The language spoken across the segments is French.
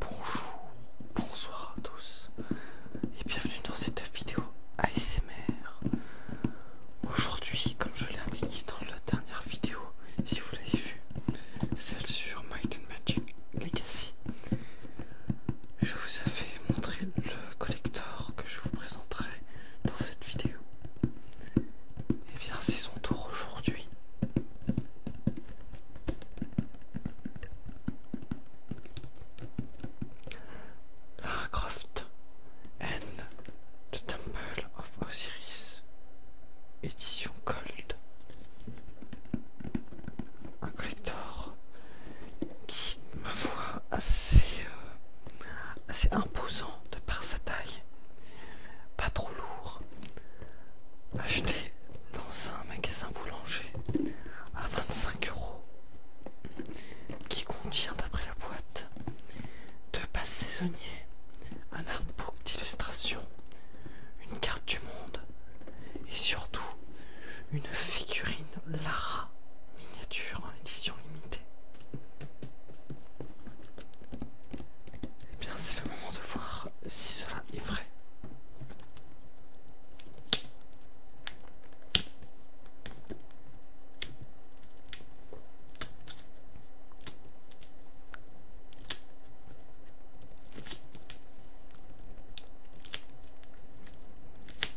Bonjour, bonsoir à tous et bienvenue dans cette vidéo ASMR. Aujourd'hui, comme je l'ai indiqué dans la dernière vidéo, si vous l'avez vu, celle sur Might Magic Legacy, je vous avais montré le collector que je vous présenterai dans cette vidéo. Et eh bien c'est son tour aujourd'hui. Lara Croft and the Temple of Osiris, édition Gold, un collector qui ma voix assez, imposante euh, imposant de par sa taille, pas trop lourd, acheté dans un magasin boulanger à 25 euros, qui contient, d'après la boîte, deux pas saisonniers, un artbook d'illustration, une carte du monde et surtout une figurine Lara miniature en édition limitée. Eh bien, c'est le moment de voir si cela est vrai.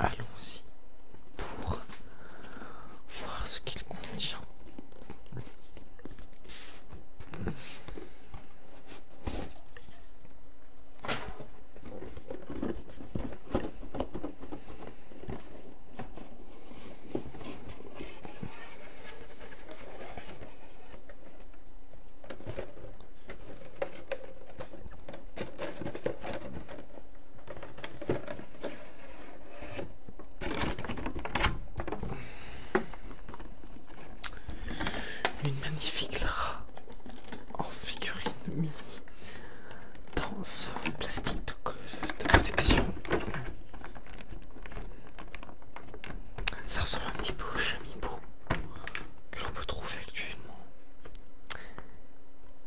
Allons-y pour voir ce qu'il contient. Une magnifique là en figurine mini dans ce plastique de, protection. Ça ressemble un petit peu au chamibo que l'on peut trouver actuellement.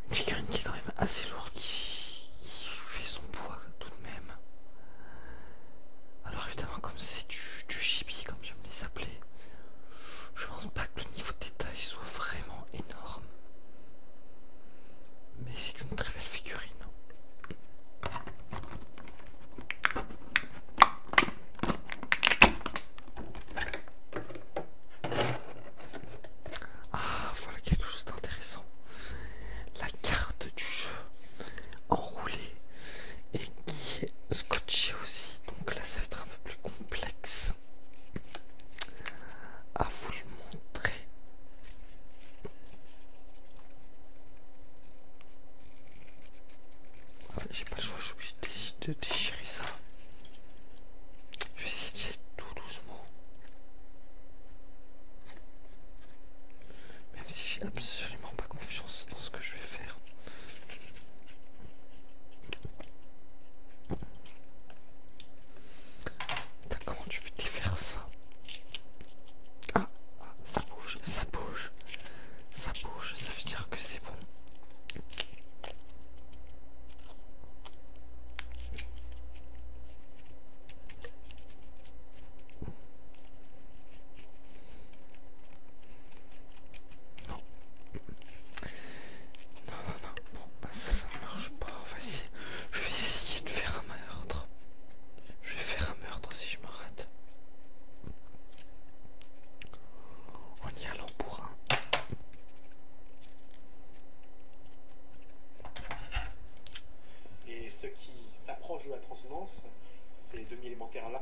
Une figurine qui est quand même assez lourde, qui, fait son poids tout de même. Alors évidemment comme c'est du, gibi, comme j'aime les je pense pas que le niveau de détail soit vraiment énorme. Mais c'est une très belle figurine. Ah, voilà quelque chose d'intéressant. La carte du jeu enroulée et qui est scotché aussi, donc là ça va être un peu plus complexe à vous le montrer. Ah, j'ai pas le choix, je suis de déchirer ça. Je vais essayer de tout doucement. Même si j'ai absolument pas confiance dans ce que je vais faire. D'accord, comment tu veux faire ça ah, ça bouge, ça bouge, ça bouge, ça veut dire que c'est bon. Non. Non, non, non. Bon, ça, ne marche pas. vas je vais essayer de faire un meurtre. Je vais faire un meurtre si je me rate. on y allant pour un. Et ceux qui s'approchent de la transcendance ces demi-élémentaires là.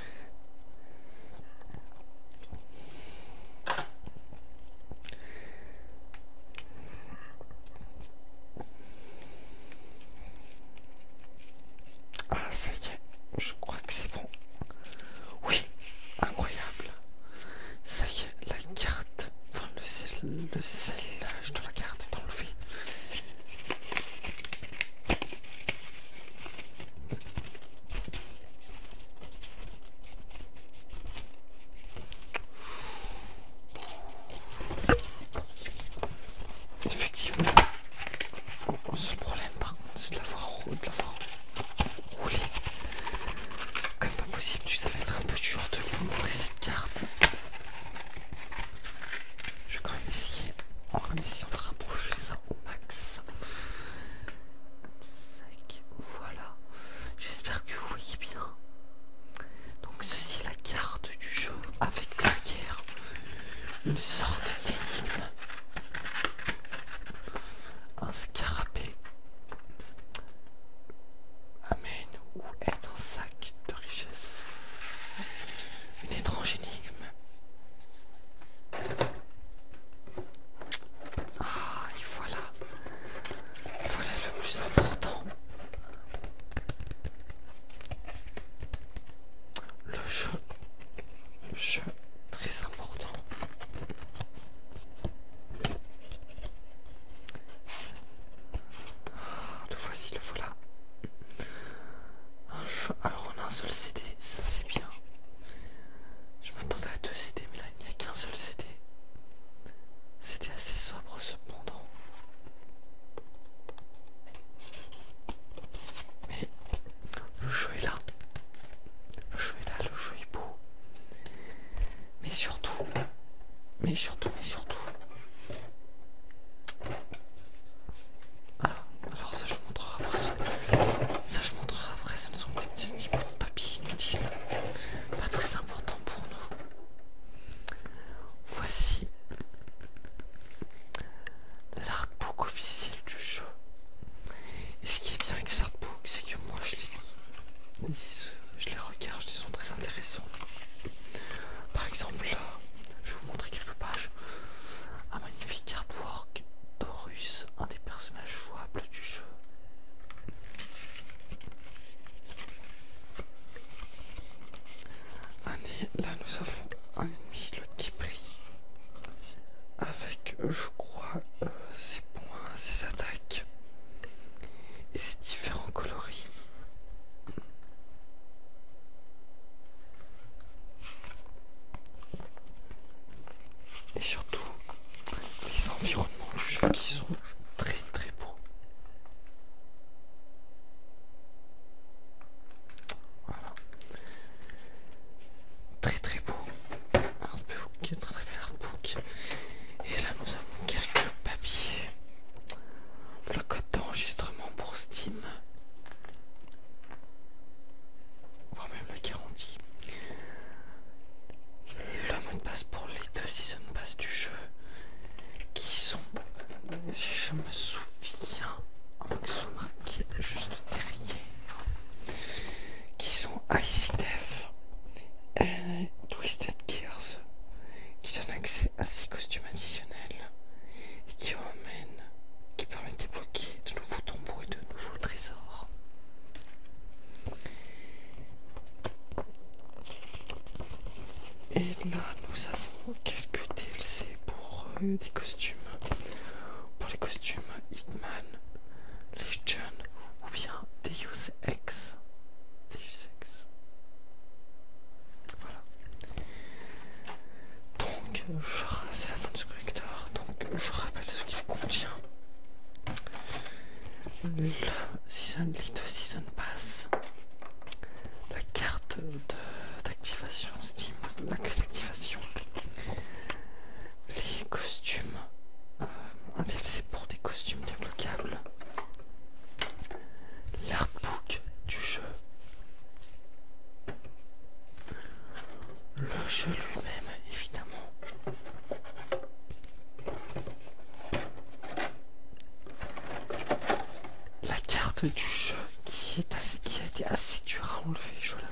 Ah, ça y est, je crois que c'est bon. Oui, incroyable. Ça y est, la carte, enfin le sel, le sellage de la carte est enlevé. Effectivement. le seul problème par contre c'est de la voir rouler. roulé. Comme pas possible, ça va être un peu dur de vous montrer cette carte. Je vais quand même essayer. On ça max. Voilà, j'espère que vous voyez bien. Donc, ceci est la carte du jeu avec derrière une sorte d'énigme. Un scarabée amène ou est un sac de richesse. Une étrange énigme. Ah, et voilà. Voilà le plus important. Le jeu. Le jeu très important. Ah, le voici, le voilà. Un jeu on a un seul CD, ça c'est bien. Je m'attendais à deux CD, mais là il n'y a qu'un seul CD. C'était assez sobre cependant. Mais le jeu est là. Le jeu est là, le jeu est beau. Mais surtout, mais surtout, mais surtout. Alors, alors ça je vous montrerai après ça, je montrerai après. Ce ne sont que des petits, petits de papier inutiles, pas très important pour nous. Voici l'artbook officiel du jeu. Et ce qui est bien avec ces artbooks, c'est que moi je les lis, je les regarde, ils sont très intéressants. Par exemple, je vais vous montrer quelques pages. Un magnifique artwork d'Horus, un des personnages jouables du jeu. Allez, là nous avons un ennemi, le kibri, avec je crois euh, ses points, ses attaques et ses différents coloris. Et surtout, les environnements du jeu qui sont très très beaux. Voilà. Très très beau. Artbook, très très bel artbook. Et là nous avons quelques papiers. Le code d'enregistrement pour Steam voire même garantie. Le mot de passe pour les deux season pass du jeu qui sont, si je me souviens, en juste derrière, qui sont Icy et Twisted Gears qui donnent accès à six costumes additionnels et qui ont qui permettent débloquer de nouveaux tombeaux et de nouveaux trésors. Et là, nous avons quelques DLC pour euh, des costumes. Pour les costumes Hitman, Legion ou bien Deus Ex. Deus Ex. Voilà. Donc, c'est la fin de ce collecteur. Donc, je rappelle ce qu'il contient. Le Season Season Pass, la carte d'activation Steam, la clé d'activation, les costumes, euh, un DLC pour des costumes débloquables, l'artbook du jeu. Le jeu lui-même, évidemment. La carte du jeu qui, est assez, qui a été assez dure à enlever, je l'avoue.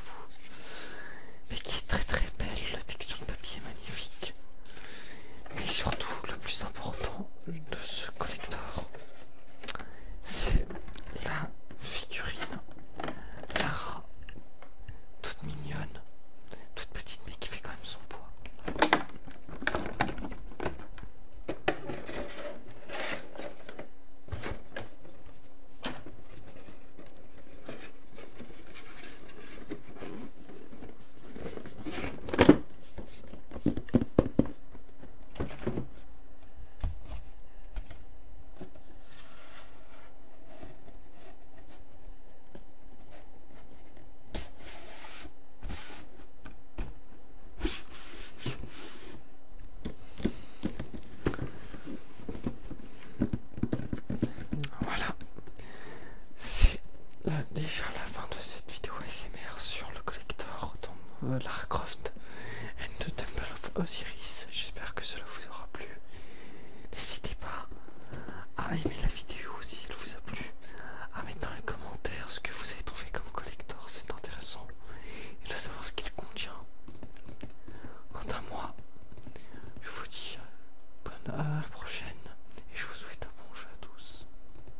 Mais qui est très très belle, la texture de papier est magnifique. Mais surtout, le plus important de ce collector, c'est la figurine Lara, toute mignonne, toute petite mais qui fait quand même son poids. Voilà, c'est là déjà fin de cette vidéo SMR sur le collector dans euh, Lara Croft and the Temple of Osiris. J'espère que cela vous aura plu. N'hésitez pas à aimer la vidéo si elle vous a plu, à mettre dans les commentaires ce que vous avez trouvé comme collector, c'est intéressant, et de savoir ce qu'il contient. Quant à moi, je vous dis euh, bonne heure prochaine et je vous souhaite un bon jeu à tous.